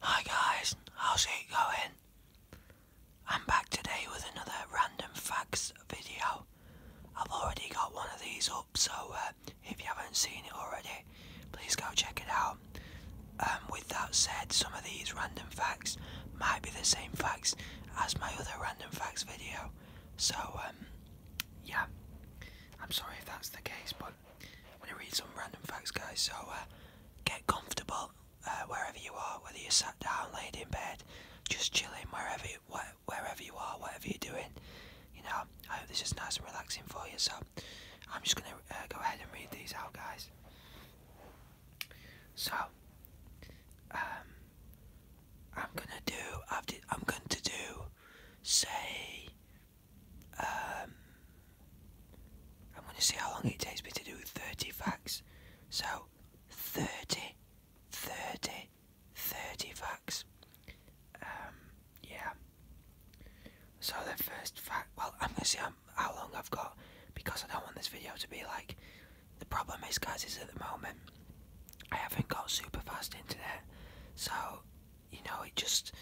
Hi guys, how's it going? I'm back today with another random facts video. I've already got one of these up, so uh, if you haven't seen it already, please go check it out. Um, with that said, some of these random facts might be the same facts as my other random facts video. So, um, yeah, I'm sorry if that's the case, but I'm going to read some random facts, guys. So uh, get comfortable uh, wherever you are, whether you're sat down, laid in bed, just chilling, wherever you, are, whatever you're doing. You know, I hope this is nice and relaxing for you. So I'm just going to uh, go ahead and read these out, guys. So um, I'm gonna do. I'm going to do. Say um, I'm going to see how long it takes me to do 30 facts. So, 30, 30, 30 facts. Um, yeah. So the first fact, well, I'm going to see how long I've got because I don't want this video to be like, the problem is guys is at the moment, I haven't got super fast internet. So, you know, it just,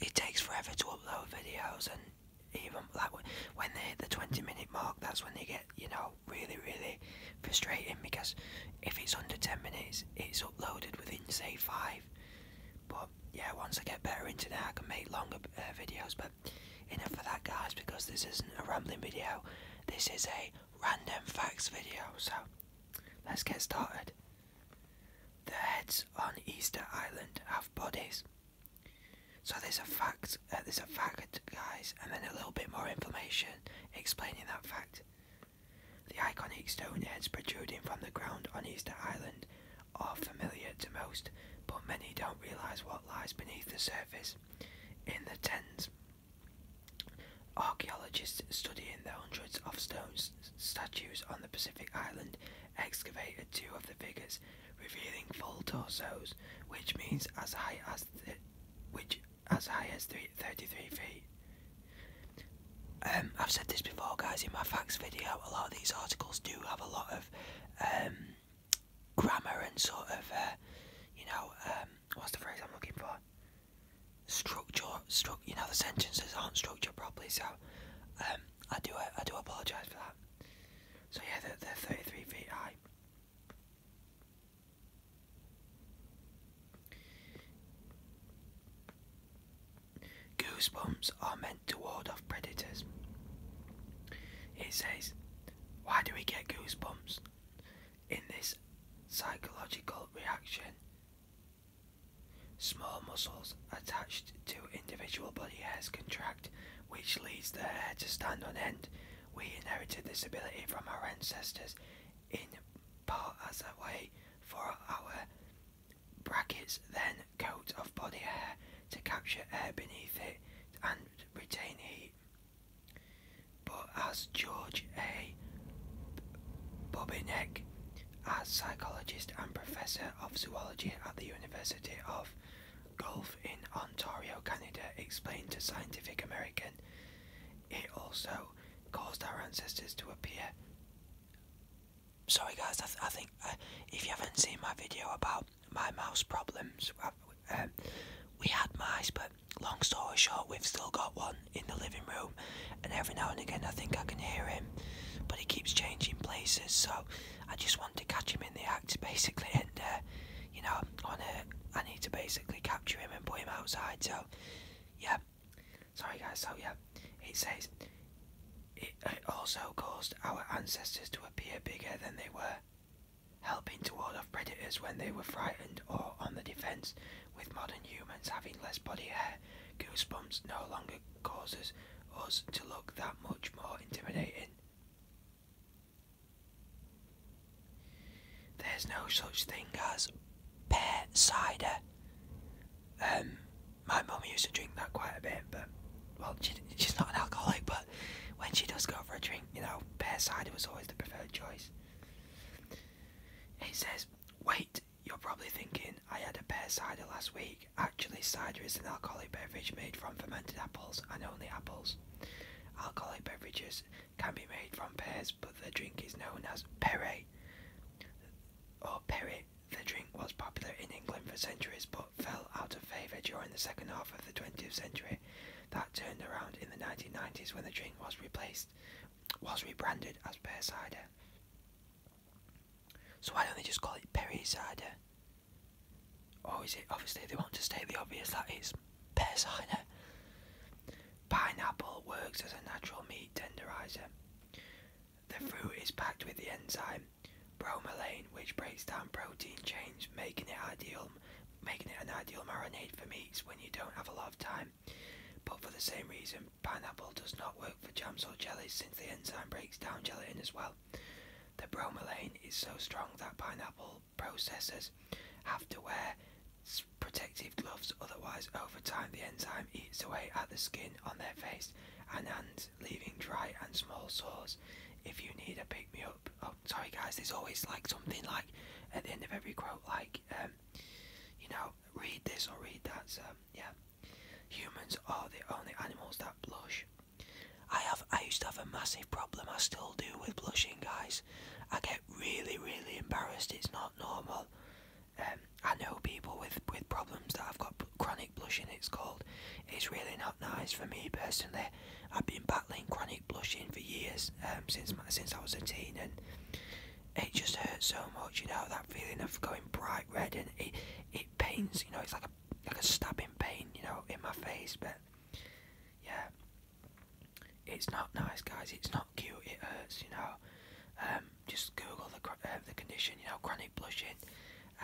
it takes forever to upload videos and even like when they hit the 20 minute mark that's when they get you know really really frustrating because if it's under 10 minutes it's uploaded within say 5 but yeah once I get better into that I can make longer uh, videos but enough for that guys because this isn't a rambling video this is a random facts video so let's get started the heads on Easter Island have bodies. So there's a fact, uh, there's a fact, guys, and then a little bit more information explaining that fact. The iconic stone heads protruding from the ground on Easter Island are familiar to most, but many don't realise what lies beneath the surface. In the tens, archaeologists studying the hundreds of stones statues on the Pacific island excavated two of the figures, revealing full torsos, which means as high as which as high as three, 33 feet. Um, I've said this before, guys, in my facts video. A lot of these articles do have a lot of um, grammar and sort of, uh, you know, um, what's the phrase I'm looking for? structure, you know, the sentences aren't structured properly, so um, I do I do apologise for that. So yeah, they they're 33 feet high. Goosebumps are meant to ward off predators. It says, why do we get goosebumps? In this psychological reaction Small muscles attached to individual body hairs contract, which leads the hair to stand on end. We inherited this ability from our ancestors, in part as a way for our brackets, then coat of body hair to capture air beneath it and retain heat. But as George A. Bobinek as psychologist and professor of zoology at the University of Gulf in Ontario, Canada, explained to Scientific American, it also caused our ancestors to appear. Sorry, guys, I, I think uh, if you haven't seen my video about my mouse problems, uh, um, we had mice, but long story short, we've still got one in the living room, and every now and again I think I can hear him, but he keeps changing places. So I just want to catch him in the act, basically, and uh, you know, on need to basically capture him and put him outside. So yeah, sorry guys. So yeah, it says it also caused our ancestors to appear bigger than they were. Helping to ward off predators when they were frightened or on the defense, with modern humans having less body hair, goosebumps no longer causes us to look that much more intimidating. There's no such thing as pear cider. Um, my mum used to drink that quite a bit, but well, she's not an alcoholic, but when she does go for a drink, you know, pear cider was always the preferred choice. It says, wait you're probably thinking, I had a pear cider last week. Actually, cider is an alcoholic beverage made from fermented apples and only apples. Alcoholic beverages can be made from pears, but the drink is known as perret or perry. The drink was popular in England for centuries but fell out of favour during the second half of the 20th century. That turned around in the 1990s when the drink was replaced was rebranded as pear cider. So why don't they just call it Perry cider? Or is it obviously they want to state the obvious that it's pear cider? Pineapple works as a natural meat tenderizer. The fruit is packed with the enzyme bromelain, which breaks down protein chains, making it ideal, making it an ideal marinade for meats when you don't have a lot of time. But for the same reason, pineapple does not work for jams or jellies since the enzyme breaks down gelatin as well. The bromelain is so strong that pineapple processors have to wear protective gloves, otherwise, over time, the enzyme eats away at the skin on their face and hands, leaving dry and small sores. If you need a pick me up, oh, sorry guys, there's always like something like at the end of every quote, like, um, you know, read this or read that. yeah, humans are the only animals that blush. I have. I used to have a massive problem. I still do with blushing, guys. I get really, really embarrassed. It's not normal. Um, I know people with with problems that I've got chronic blushing. It's called. It's really not nice for me personally. I've been battling chronic blushing for years um, since my, since I was a teen, and it just hurts so much, you know, that feeling of going bright red and it it pains, you know, it's like a like a stabbing pain, you know, in my face, but yeah. It's not nice, guys. It's not cute. It hurts, you know. Um, just Google the um, the condition, you know, chronic blushing,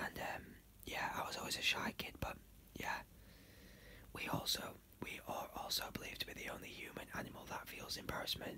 and um, yeah, I was always a shy kid, but yeah, we also we are also believed to be the only human animal that feels embarrassment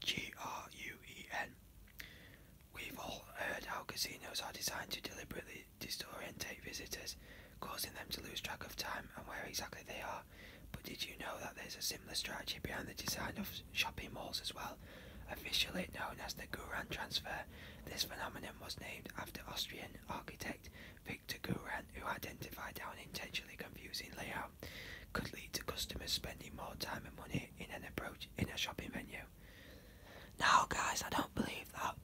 G R U E N. We've all heard how casinos are designed to deliberately disorientate visitors, causing them to lose track of time and where exactly they are. But did you know that there's a similar strategy behind the design of shopping malls as well? Officially known as the Guran transfer, this phenomenon was named after Austrian architect Victor Guran, who identified how an intentionally confusing layout could lead to customers spending more time and money in an approach in a shopping venue. No, guys, I don't believe that.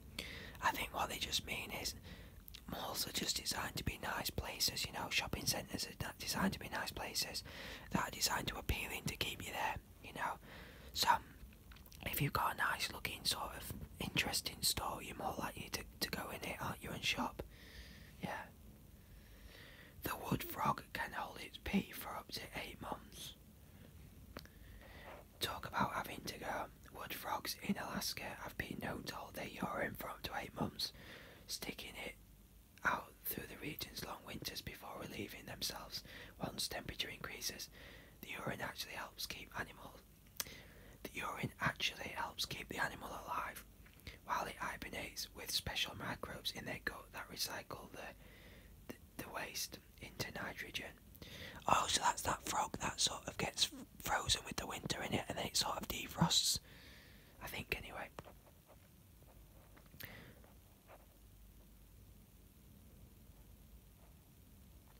I think what they just mean is malls are just designed to be nice places. You know, shopping centres are designed to be nice places that are designed to appealing to keep you there. You know, so if you've got a nice looking sort of interesting store, you're more likely to, to go in it, aren't you, and shop? Yeah. The wood frog can hold its pee for up to eight months. Talk about having to go. Wood frogs in Alaska have been known to hold their urine for up to eight months, sticking it out through the region's long winters before relieving themselves once temperature increases. The urine actually helps keep animals. The urine actually helps keep the animal alive while it hibernates with special microbes in their gut that recycle the, the, waste into nitrogen. Oh, so that's that frog that sort of gets frozen with the winter in it and then it sort of defrosts. I think, anyway.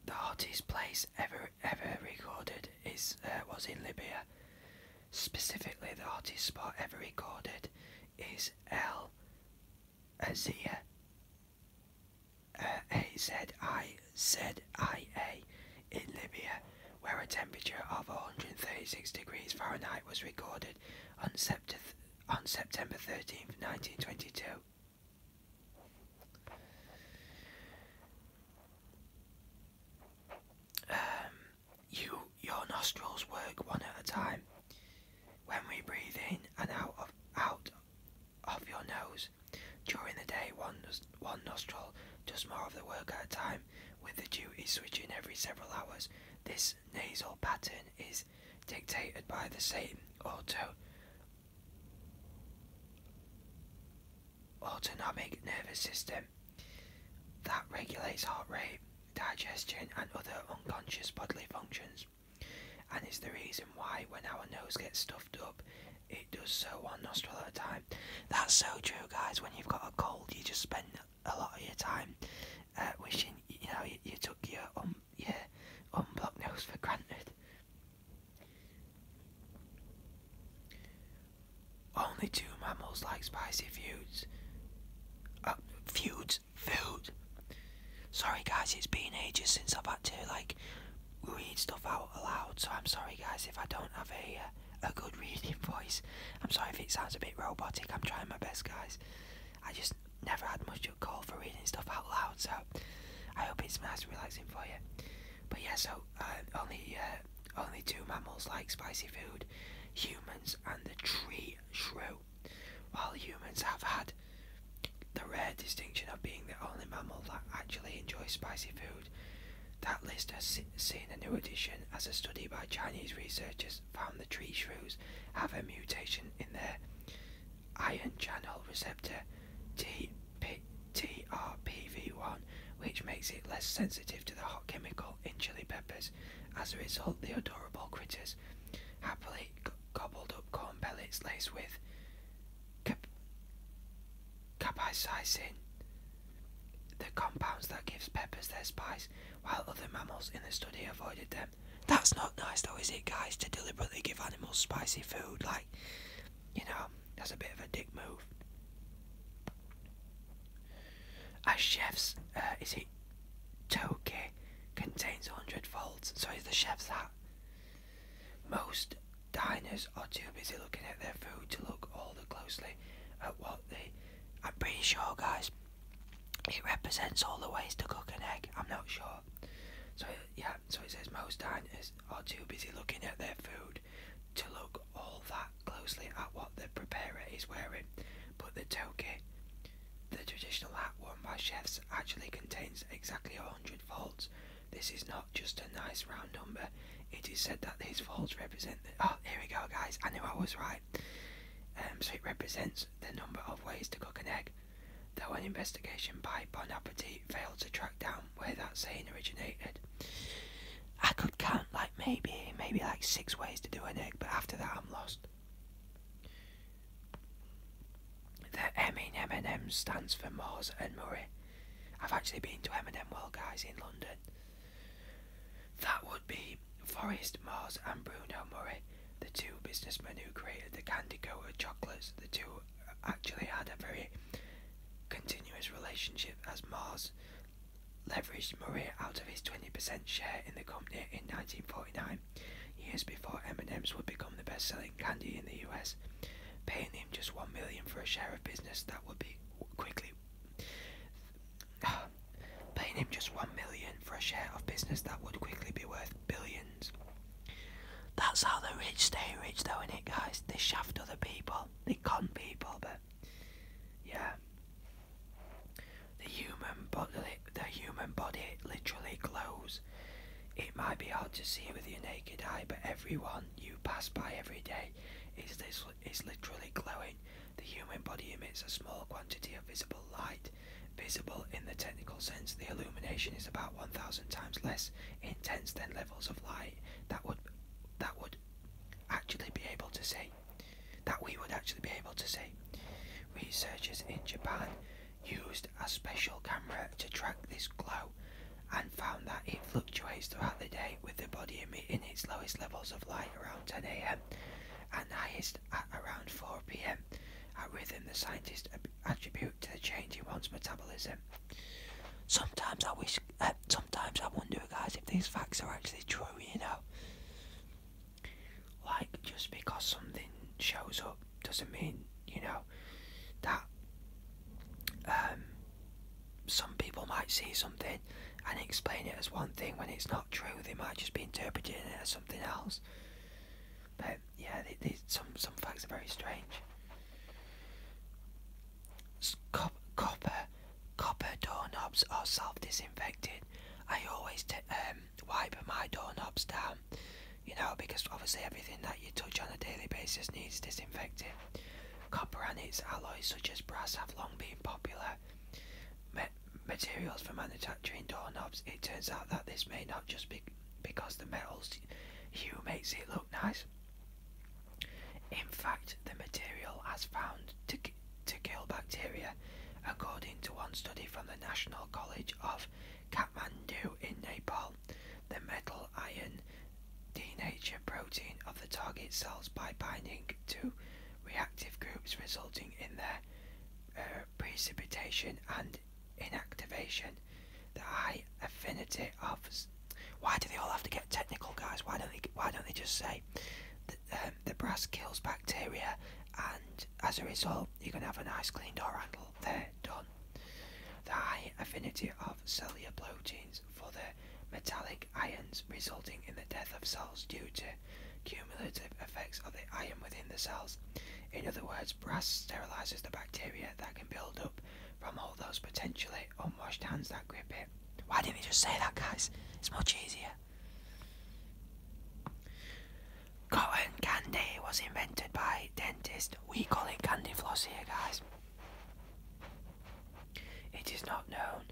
The hottest place ever ever recorded is uh, was in Libya, Specifically, the hottest spot ever recorded is El Azia. Uh, uh, uh, A-Z-I-Z-I-A in Libya, where a temperature of 136 degrees Fahrenheit was recorded on, sept on September 13th, 1922. Um, you, your nostrils work one at a time. When we breathe in and out of out of your nose during the day, one one nostril does more of the work at a time, with the duty switching every several hours. This nasal pattern is dictated by the same autonomic nervous system that regulates heart rate, digestion, and other unconscious bodily functions, and is the reason why when our nose gets stuffed up, it does so one nostril at a time. That's so true, guys. When you've got a cold, you just spend a lot of your time uh, wishing you know you, took your um your unblocked nose for granted. Only two mammals like spicy feuds. Feuds, foods? Uh, sorry guys, it's been ages since I've had to like read stuff out aloud, so I'm sorry guys if I don't have a uh, a good reading voice. I'm sorry if it sounds a bit robotic. I'm trying my best, guys. I just never had much of a call for reading stuff out loud, so I hope it's nice and relaxing for you. But yeah, so uh, only only two mammals like spicy food humans and the tree shrew, while humans have had the rare distinction of being the only mammal that actually enjoys spicy food. That list has seen a new addition as a study by Chinese researchers found the tree shrews have a mutation in their ion channel receptor TRPV1, which makes it less sensitive to the hot chemical in chili peppers. As a result, the adorable critters happily gobbled up corn pellets laced with cap capsaicin, the compound that gives peppers their spice, while other mammals in the study avoided them. That's not nice though, is it, guys, to deliberately give animals spicy food? Like, you know, that's a bit of a dick move. As chef's, uh, is it Tokyo contains 100 volts, so is the chef's hat. Most diners are too busy looking at their food to look all the closely at what they. I'm pretty sure, guys, it represents all the ways to cook an egg. I'm not sure. So, yeah, so it says most diners are too busy looking at their food to look all that closely at what the preparer is wearing, but the toki, the traditional hat worn by chefs, actually contains exactly 100 folds. This is not just a nice round number, it is said that these folds represent. oh, here we go, guys, I knew I was right. Um, so it represents the number of ways to cook an egg. Though an investigation by Bon Appetit failed to track down where that saying originated, I could count like maybe, maybe like six ways to do an egg, but after that I'm lost. The M in M&M stands for Mars and Murray. I've actually been to M&M World Guys in London. That would be Forrest Mars and Bruno Murray, the two businessmen who created the candy coated chocolates. The two actually had a very continuous relationship as Mars leveraged Maria out of his 20% share in the company in 1949, years before M&M's would become the best-selling candy in the US, paying him just one million for a share of business that would be quickly paying him just one million for a share of business that would quickly be worth billions. That's how the rich stay rich, though, it, guys? They shaft other people, they con people, but yeah. The human body, the human body literally glows. It might be hard to see with your naked eye, but everyone you pass by every day is this is literally glowing. The human body emits a small quantity of visible light. Visible in the technical sense, the illumination is about 1,000 times less intense than levels of light that would that would actually be able to see, that we would actually be able to see. Researchers in Japan used a special camera to track this glow and found that it fluctuates throughout the day with the body emitting its lowest levels of light around 10 a.m. and highest at around 4 p.m. a rhythm the scientists attribute to the change in one's metabolism. Sometimes I wish sometimes I wonder, guys, if these facts are actually true, you know. Like, just because something shows up doesn't mean, you know, that um, some people might see something and explain it as one thing when it's not true. They might just be interpreting it as something else. But yeah, they, some some facts are very strange copper, copper doorknobs are self-disinfected. I always um, wipe my doorknobs down, you know, because obviously everything that you touch on a daily basis needs disinfecting. Copper and its alloys, such as brass, have long been popular materials for manufacturing doorknobs. It turns out that this may not just be because the metal's hue makes it look nice. In fact, the material has found to, kill bacteria, according to one study from the National College of Kathmandu in Nepal. The metal iron denatured protein of the target cells by binding to reactive groups, resulting in their uh, precipitation and inactivation. The high affinity of why do they all have to get technical, guys? Why don't they? Why don't they just say that, um, the brass kills bacteria, and as a result, you can have a nice clean door handle? They're done. The high affinity of cellular proteins for the metallic ions, resulting in the death of cells due to cumulative effects of the ion within the cells. In other words, brass sterilizes the bacteria that can build up from all those potentially like unwashed oh, hands that grip it. Why didn't they just say that, guys? It's much easier. Cotton candy was invented by dentist. We call it candy floss here, guys. It is not known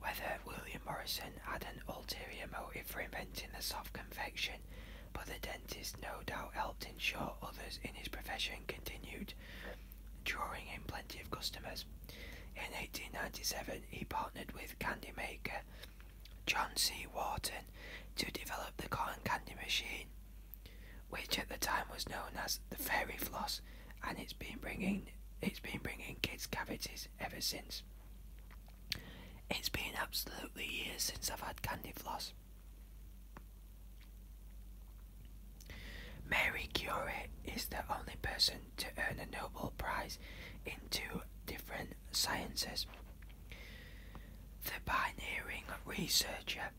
whether William Morrison had an ulterior motive for inventing the soft confection, but the dentist no doubt helped ensure others in his profession continued drawing in plenty of customers. In 1897, he partnered with candy maker John C. Wharton to develop the cotton candy machine, which at the time was known as the Fairy Floss, and it's been bringing it's been bringing kids cavities ever since. It's been absolutely years since I've had candy floss. Mary Curie is the only person to earn a Nobel Prize in two different sciences. The pioneering researcher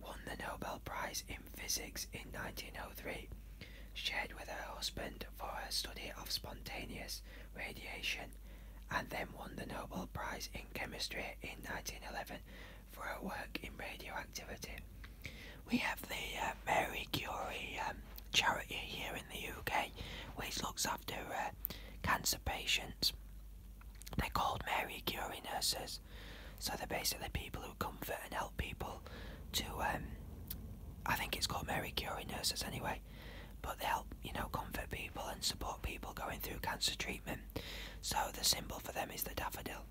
won the Nobel Prize in Physics in 1903, shared with her husband for her study of spontaneous radiation, and then won the Nobel Prize in Chemistry in 1911 for her work in radioactivity. We have the uh, Mary Curie um, charity here in the UK, which looks after uh, cancer patients. They're called Mary Curie nurses, so they're basically people who comfort and help people to. Um, I think it's called Mary Curie nurses anyway, but they help you know comfort people and support people going through cancer treatment. So the symbol for them is the daffodil.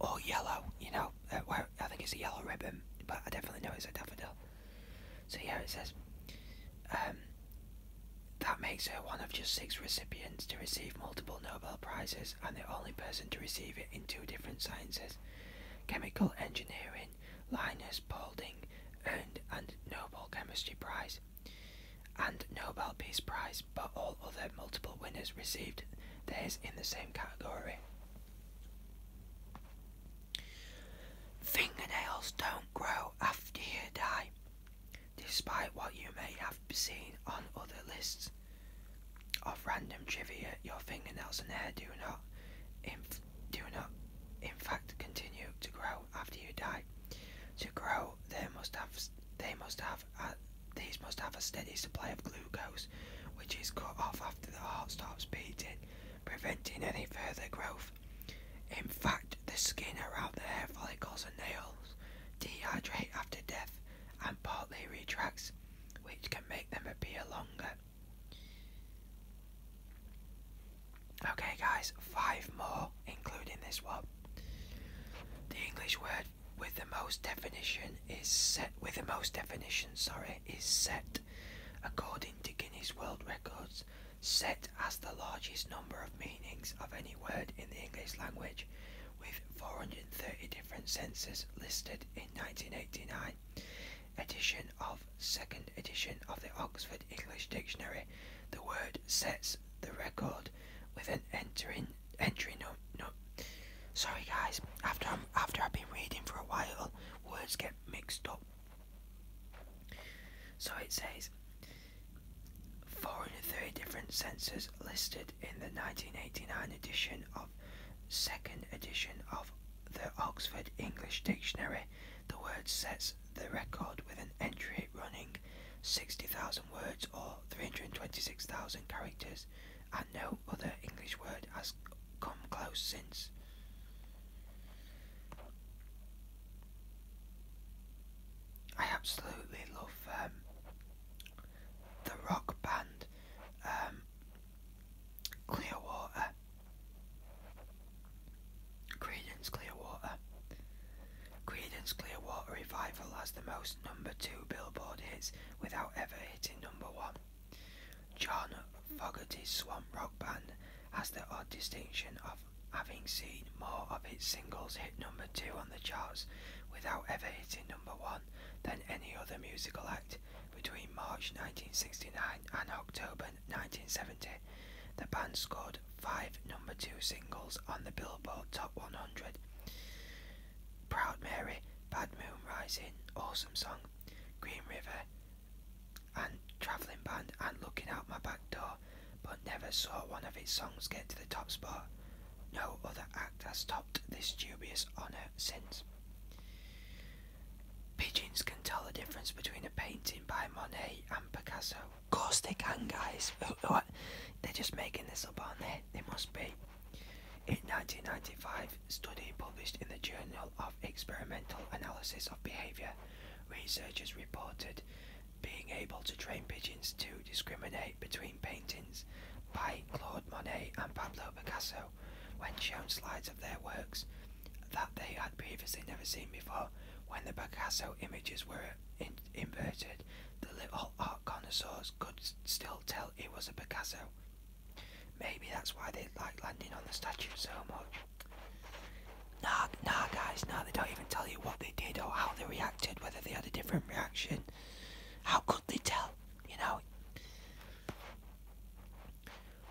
Or yellow, you know, uh, I think it's a yellow ribbon, but I definitely know it's a daffodil. So yeah, it says, um, that makes her one of just six recipients to receive multiple Nobel Prizes and the only person to receive it in two different sciences. Chemical engineering, Linus Paulding earned and Nobel Chemistry Prize and Nobel Peace Prize but all other multiple winners received theirs in the same category. Fingernails don't grow after you die, despite what you may have seen on other lists of random trivia. Your fingernails and hair do not, do not, in fact, continue to grow after you die. To grow, they must have they must have these must have a steady supply of glucose, which is cut off after the heart stops beating, preventing any further growth. In fact, the skin around the hair follicles and nails dehydrate after death and partly retracts, which can make them appear longer. Okay, guys, five more, including this one. The English word with the most definition is set with the most definition, sorry, is set according to Guinness World Records, set as the largest number of meanings of any word in the English language, with 430 different senses listed in 1989. Edition of second edition of the Oxford English Dictionary, the word sets the record with an entering entry no, No, sorry guys. After i after I've been reading for a while, words get mixed up. So it says 430 different senses listed in the 1989 edition of second edition of the Oxford English Dictionary. The word sets the record with an entry running 60,000 words or 326,000 characters, and no other English word has come close since. I absolutely love um, the rock band um, Clearwater, Credence Clearwater. Creedence Clearwater Revival has the most number two Billboard hits without ever hitting number one. John Fogerty's Swamp Rock Band has the odd distinction of having seen more of its singles hit number two on the charts without ever hitting number one than any other musical act between March 1969 and October 1970. The band scored five number two singles on the Billboard Top 100 Proud Mary, Bad Moon Rising, Awesome Song, Green River, and Travelling Band, and Looking Out My Back Door, but never saw one of its songs get to the top spot. No other act has topped this dubious honour since. Pigeons can tell the difference between a painting by Monet and Picasso. Of course they can, guys. They're just making this there must be. In 1995, a study published in the Journal of Experimental Analysis of Behavior, researchers reported being able to train pigeons to discriminate between paintings by Claude Monet and Pablo Picasso when shown slides of their works that they had previously never seen before. When the Picasso images were inverted, the little connoisseurs could still tell it was a Picasso. Maybe that's why they like landing on the statue so much. Nah, nah, guys, nah, they don't even tell you what they did or how they reacted, whether they had a different reaction. How could they tell, you know?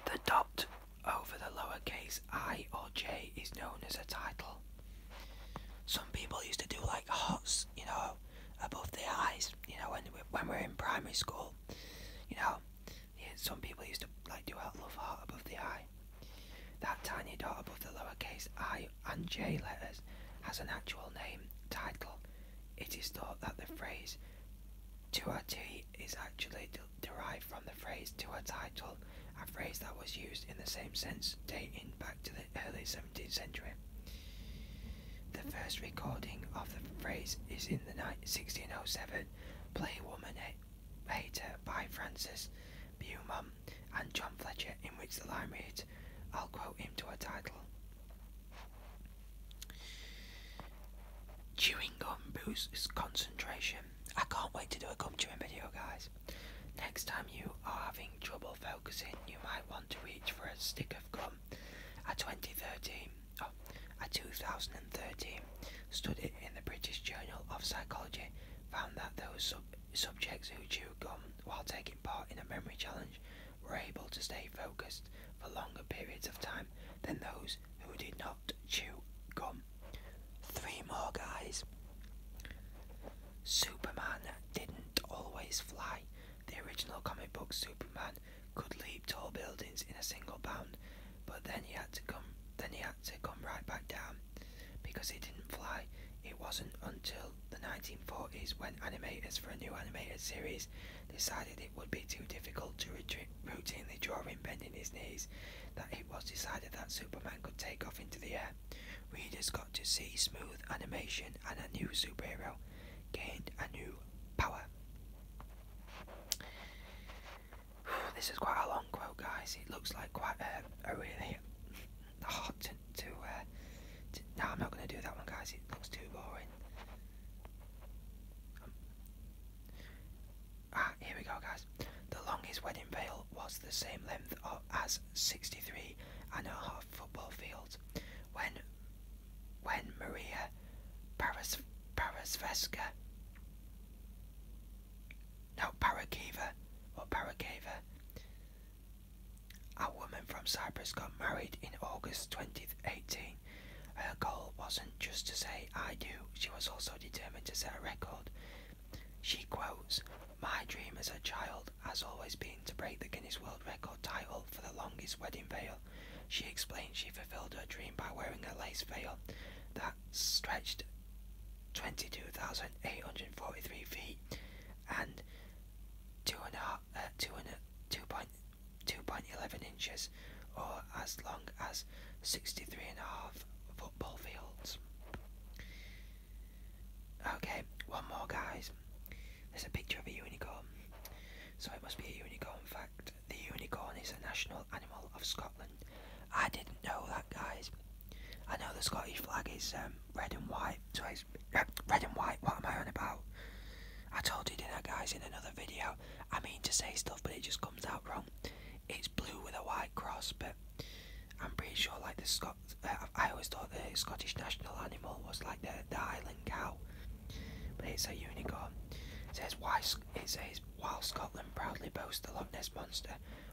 The dot over the lowercase i or j is known as a title. Some people used to do like hots you know, above the eyes. You know, when we, when we are in primary school, you know, some people used to like do a love heart above the eye. That tiny dot above the lowercase i and j letters has an actual name title. It is thought that the phrase to a T is actually derived from the phrase to a title phrase that was used in the same sense dating back to the early 17th century. The first recording of the phrase is in the 1607 play Woman Hater by Francis Beaumont and John Fletcher, in which the line reads, I'll quote him to a title. Chewing gum boosts concentration. I can't wait to do a gum chewing video, guys. Next time you are having trouble focusing, you might want to reach for a stick of gum. A 2013, a 2013 study in the British Journal of Psychology found that those subjects who chew gum while taking part in a memory challenge were able to stay focused for longer periods of time than those who did not chew gum. Three more guys. Superman didn't always fly. The original comic book Superman could leap tall buildings in a single bound, but then he had to come then he had to come right back down because he didn't fly. It wasn't until the 1940s when animators for a new animated series decided it would be too difficult to routinely draw him bending his knees that it was decided that Superman could take off into the air. Readers got to see smooth animation and a new superhero gained a new power. This is quite a long quote, guys. It looks like quite a, a really hard to. to, uh, no, I'm not going to do that one, guys. It looks too boring. Um, ah, here we go, guys. The longest wedding veil was the same length as 63 tree and her hot football field. When, when Maria Paras, Parasvesca, no, or Parakeva, a woman from Cyprus got married in August 2018. Her goal wasn't just to say I do, she was also determined to set a record. She quotes, my dream as a child has always been to break the Guinness World Record title for the longest wedding veil. She explained she fulfilled her dream by wearing a lace veil that stretched 22,843 feet and 2.11 uh, inches or as long as 63 and a half football fields. Okay, one more, guys. There's a picture of a unicorn. So it must be a unicorn fact. The unicorn is a national animal of Scotland. I didn't know that, guys. I know the Scottish flag is um, red and white. So it's uh, red and white. What am I on about? I told you, didn't I, guys, in another video? I mean to say stuff, but it just comes out wrong. It's blue with a white cross, but I'm pretty sure, like, the I always thought the Scottish national animal was like the, the Highland cow, but it's a unicorn. It says, why, while Scotland proudly boasts the Loch Ness Monster,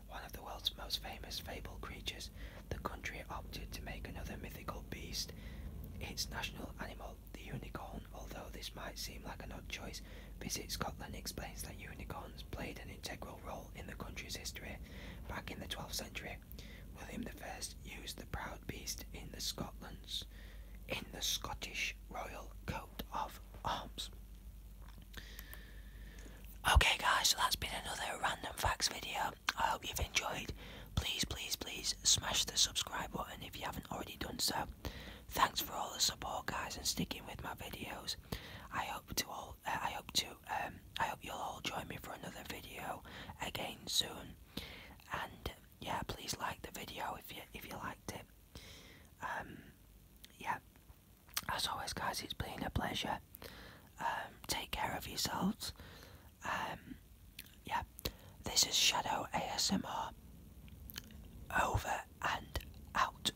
one of the world's most famous fable creatures, the country opted to make another mythical beast its national animal, the unicorn. Although this might seem like an odd choice, Visit Scotland explains that unicorn played an integral role in the country's history. Back in the 12th century, William the First used the proud beast in the Scotland's in the Scottish royal coat of arms. Okay guys, so that's been another random facts video. I hope you've enjoyed. Please, please, please smash the subscribe button if you haven't already done so. Thanks for all the support guys and sticking with my videos. I hope to all. I hope to. Um, I hope you'll all join me for another video again soon. And yeah, please like the video if you if you liked it. Um, yeah. As always, guys, it's been a pleasure. Um, take care of yourselves. yeah. This is Shadow ASMR. Over and out.